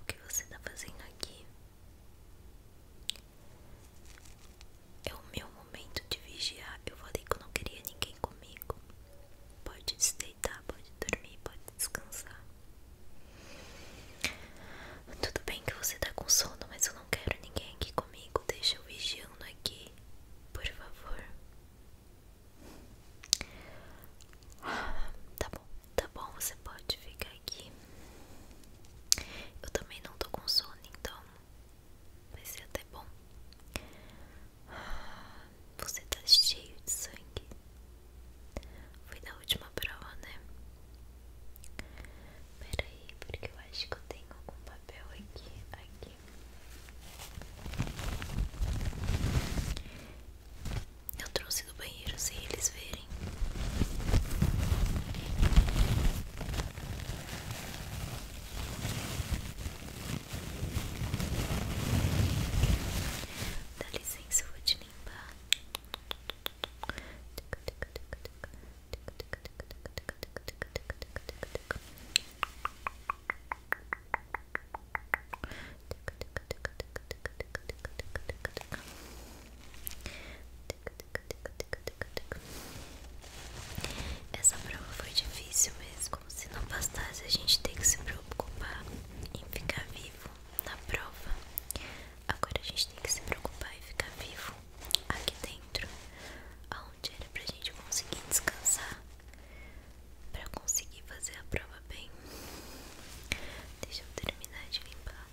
O que você tá fazendo aqui? É o meu momento de vigiar. Eu falei que eu não queria ninguém comigo. Pode se deitar, pode dormir, pode descansar. Tudo bem que você tá com sono, mas eu não quero ninguém aqui comigo. Deixa eu vigiando aqui, por favor. Tá bom, tá bom, você pode ficar aqui. Eu também não tô com sono, então vai ser até bom. Você tá cheio de sangue. Foi na última prova, né? Peraí, porque eu acho que eu tenho algum papel aqui, aqui. Eu trouxe do banheiro sem eles verem. Dá licença, eu vou te limpar. Essa prova foi difícil mesmo, como se não bastasse a gente ter que se preocupar em ficar vivo na prova. Agora a gente tem que se preocupar em ficar vivo aqui dentro, ao onde era pra gente conseguir descansar pra conseguir fazer a prova bem. Deixa eu terminar de limpar.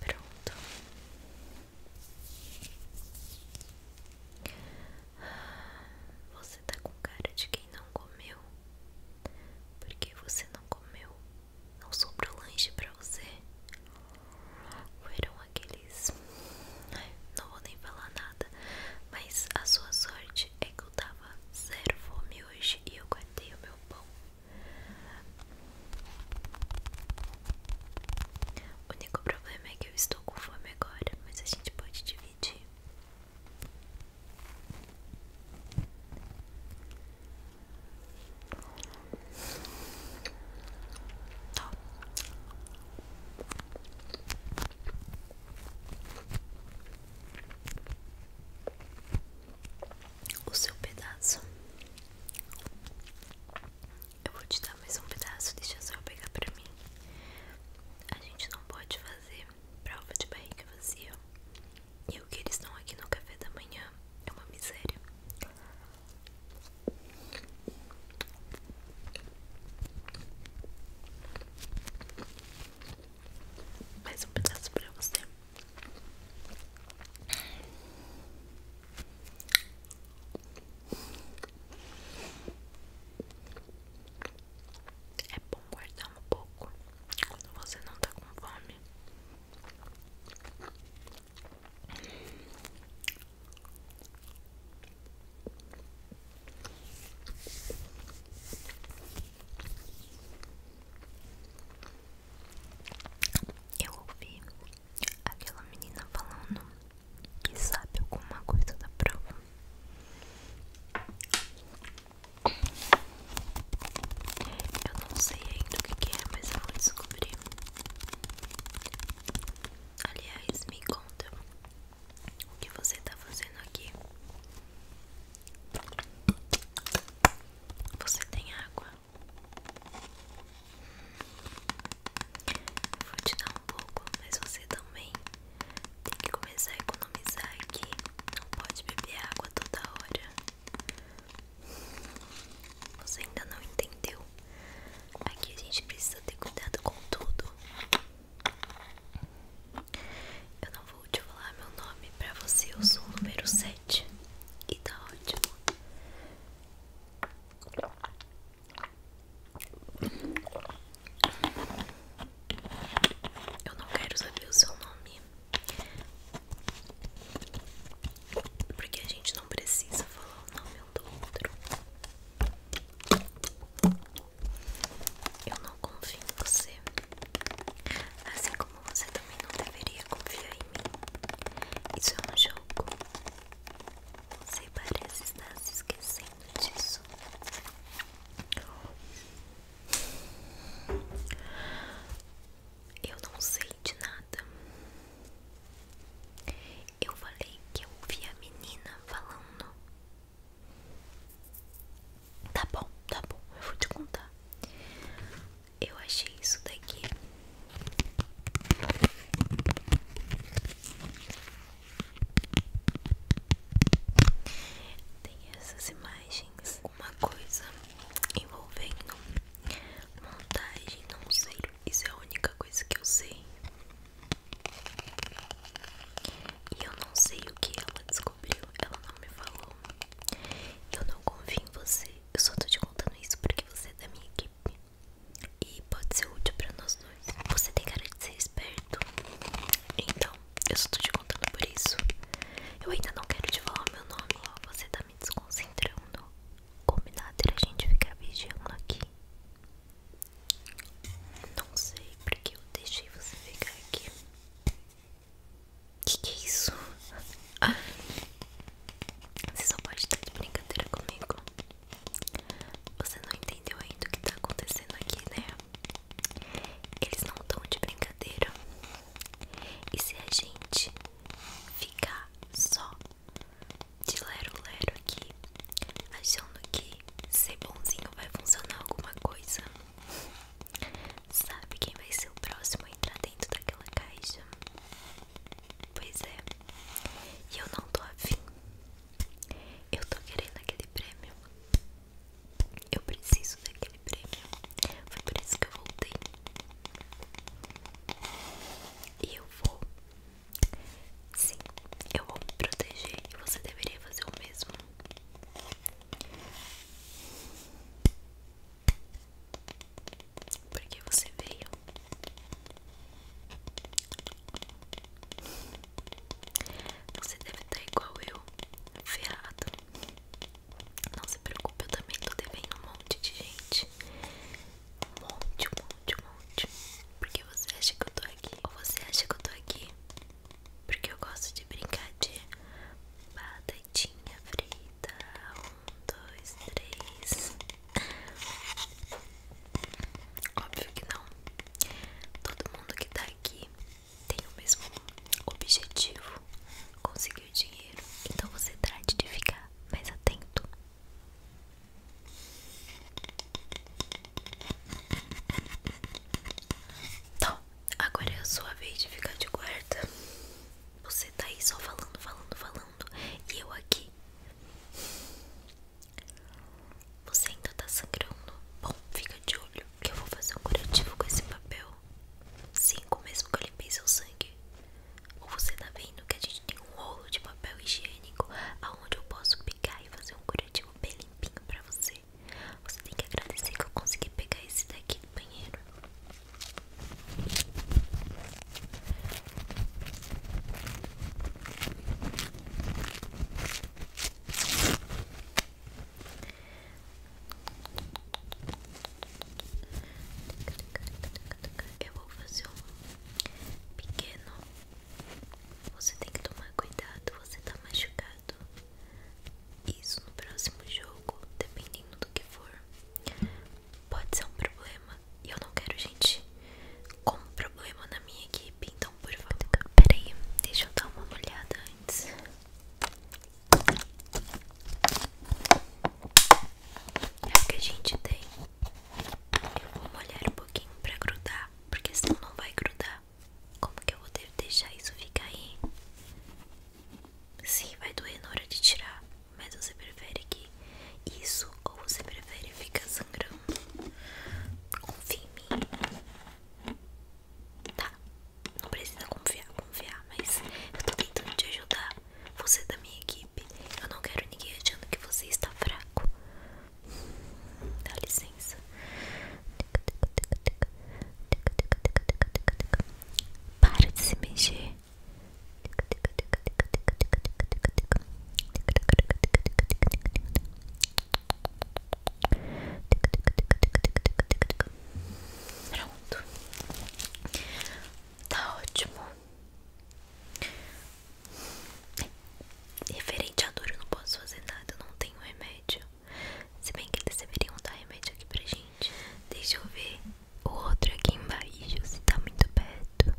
Pronto. Você tá com cara de quem não comeu. Porque você não comeu? Não sobrou lanche pra você? Foram aqueles. Não vou nem falar nada. Mas a sua sorte é que eu tava zero fome hoje e eu guardei o meu pão. O único problema é que eu estou com fome agora, mas a gente pode dividir. O seu pedaço. Eu vou te dar mais um pedaço, deixa só pegar para mim. A gente não pode fazer prova de barriga vazia. E o que eles estão aqui no café da manhã é uma miséria. Mais um pedaço para você. É bom guardar um pouco quando você não tá com fome. Eu ouvi aquela menina falando que sabe alguma coisa da prova. Eu não sei ainda o que, que é, mas eu vou descobrir. Aliás, me conta o que você tá fazendo aqui. Você tem água? Eu vou te dar um pouco, mas você também tem que começar a economizar aqui. Não pode beber água toda hora. Você ainda não entendeu? Aqui a gente precisa ter cuidado com tudo. Eu não vou te falar meu nome pra você. Eu sou o número 7. E tá ótimo. Eu não quero saber o seu nome. Porque a gente não precisa falar o nome um do outro. Eu não confio em você. Assim como você também não deveria confiar em mim. Isso é um jogo. Você parece estar se esquecendo disso. Eu não sei de nada. Eu falei que eu ouvi a menina falando. Tá bom, tá bom, eu vou te contar. Eu achei isso daqui. Tem essas imagens, uma coisa envolvendo montagem, não sei. Isso é a única coisa que eu sei. E eu não sei o que ela descobriu, ela não me falou. Eu então, não confio em você, eu só tô te contando isso porque você é da minha equipe e pode ser útil para nós dois. Você tem cara de ser esperto, então eu só tô te contando por isso. Eu ainda não quero te falar meu nome, você tá me desconcentrando. Combinado era a gente ficar vigiando aqui. Não sei porque eu deixei você ficar aqui. O que é isso? Você só pode estar de brincadeira comigo. Você não entendeu ainda o que tá acontecendo aqui, né? Eles não estão de brincadeira. E se a gente ficar só de lero-lero aqui, achando que ser bonzinho vai funcionar alguma coisa, sabe quem vai ser o próximo a entrar dentro daquela caixa? Pois é, e eu não tô afim. Eu tô querendo aquele prêmio. Eu preciso daquele prêmio. Foi por isso que eu voltei. E eu vou. Sim, eu vou me proteger. E você deveria fazer o mesmo. Porque você veio Você deve estar igual eu Ferrado Não se preocupe Eu também tô devendo um monte de gente Um monte, um monte, um monte Porque você acha que eu tô aqui Ou você acha que eu tô aqui porque eu gosto de brincar de batatinha frita um dois, três. Óbvio que não. Todo mundo que tá aqui tem o mesmo objetivo: conseguir dinheiro. Então você trate de ficar mais atento. Então, agora é a sua vez de ficar de guarda. Você tá aí só falando, falando, falando e eu aqui. Você ainda tá sangrando? Bom, fica de olho que eu vou fazer um curativo com esse papel. Cinco mesmo que eu limpei seu sangue. Ou você tá vendo que a gente tem um rolo de papel higiênico aonde eu posso pegar e fazer um curativo bem limpinho pra você. Você tem que agradecer que eu consegui pegar esse daqui do banheiro. Eu vou fazer um pequeno. Você tem que tomar cuidado, você está machucado. Isso no próximo jogo, dependendo do que for, pode ser um problema e eu não quero gente com problema na minha equipe, então por favor. Peraí, deixa eu dar uma olhada antes. olha é o que a gente tem. Eu vou molhar um pouquinho pra grudar, porque senão não vai grudar. Como que eu vou deixar isso ficar aí? Sim, vai doer na hora de tirar, mas você prefere que isso ou você prefere ficar sangrando? Confia em mim. Tá, não precisa confiar, confiar, mas eu tô tentando te ajudar. Você é da minha equipe. Eu não quero ninguém achando que você está fraco. Dá licença. Para de se mexer. Pronto. Tá ótimo. Referente à dor, eu não posso fazer nada, não tenho remédio. Se bem que eles deveriam dar remédio aqui pra gente. Deixa eu ver o outro aqui embaixo, se tá muito perto.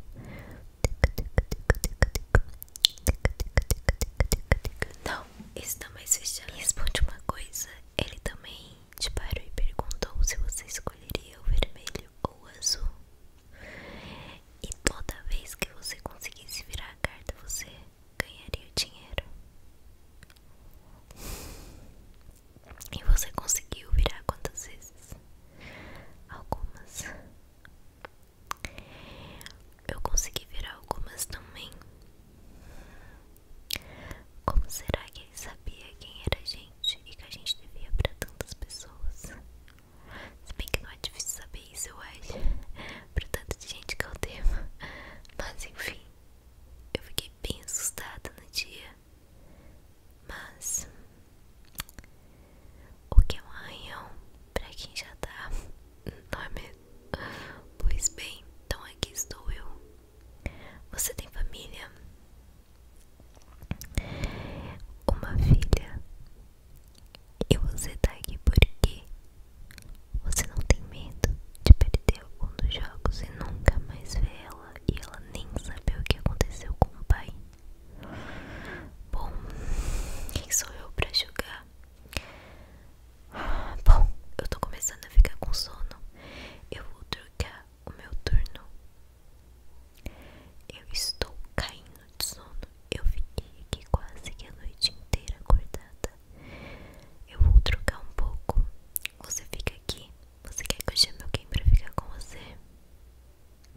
Não, esse tá mais fechado. Me responde uma coisa. Ele também te parou e perguntou se você escolheria o vermelho ou o azul. E toda vez que você conseguisse virar a carta, você ganharia dinheiro. E você conseguiu virar quantas vezes? Algumas. Eu consegui virar algumas também. Como será que ele sabia quem era a gente e que a gente devia para tantas pessoas? Se bem que não é difícil saber isso, eu acho, para tanto de gente que eu tenho. Mas enfim, eu fiquei bem assustada no dia, mas o que é um arranhão para quem já tá não Pois bem, então aqui estou eu. Você tem família? Uma filha. E você tá aqui porque você não tem medo de perder algum dos jogos e nunca mais ver ela e ela nem saber o que aconteceu com o pai? Bom, quem sou eu pra jogar? Bom, eu tô começando a ficar com sono. Eu vou trocar o meu turno. Eu estou caindo de sono. Eu fiquei quase que a noite inteira acordada. Eu vou trocar um pouco. Você fica aqui. Você quer que eu chame alguém pra ficar com você?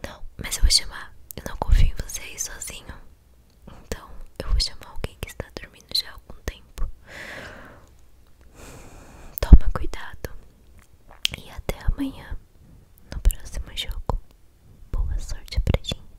Não, mas eu vou chamar. Eu não confio em você aí sozinho. Então eu vou chamar alguém que está dormindo já há algum tempo. Toma cuidado. E até amanhã no próximo jogo. Boa sorte pra gente.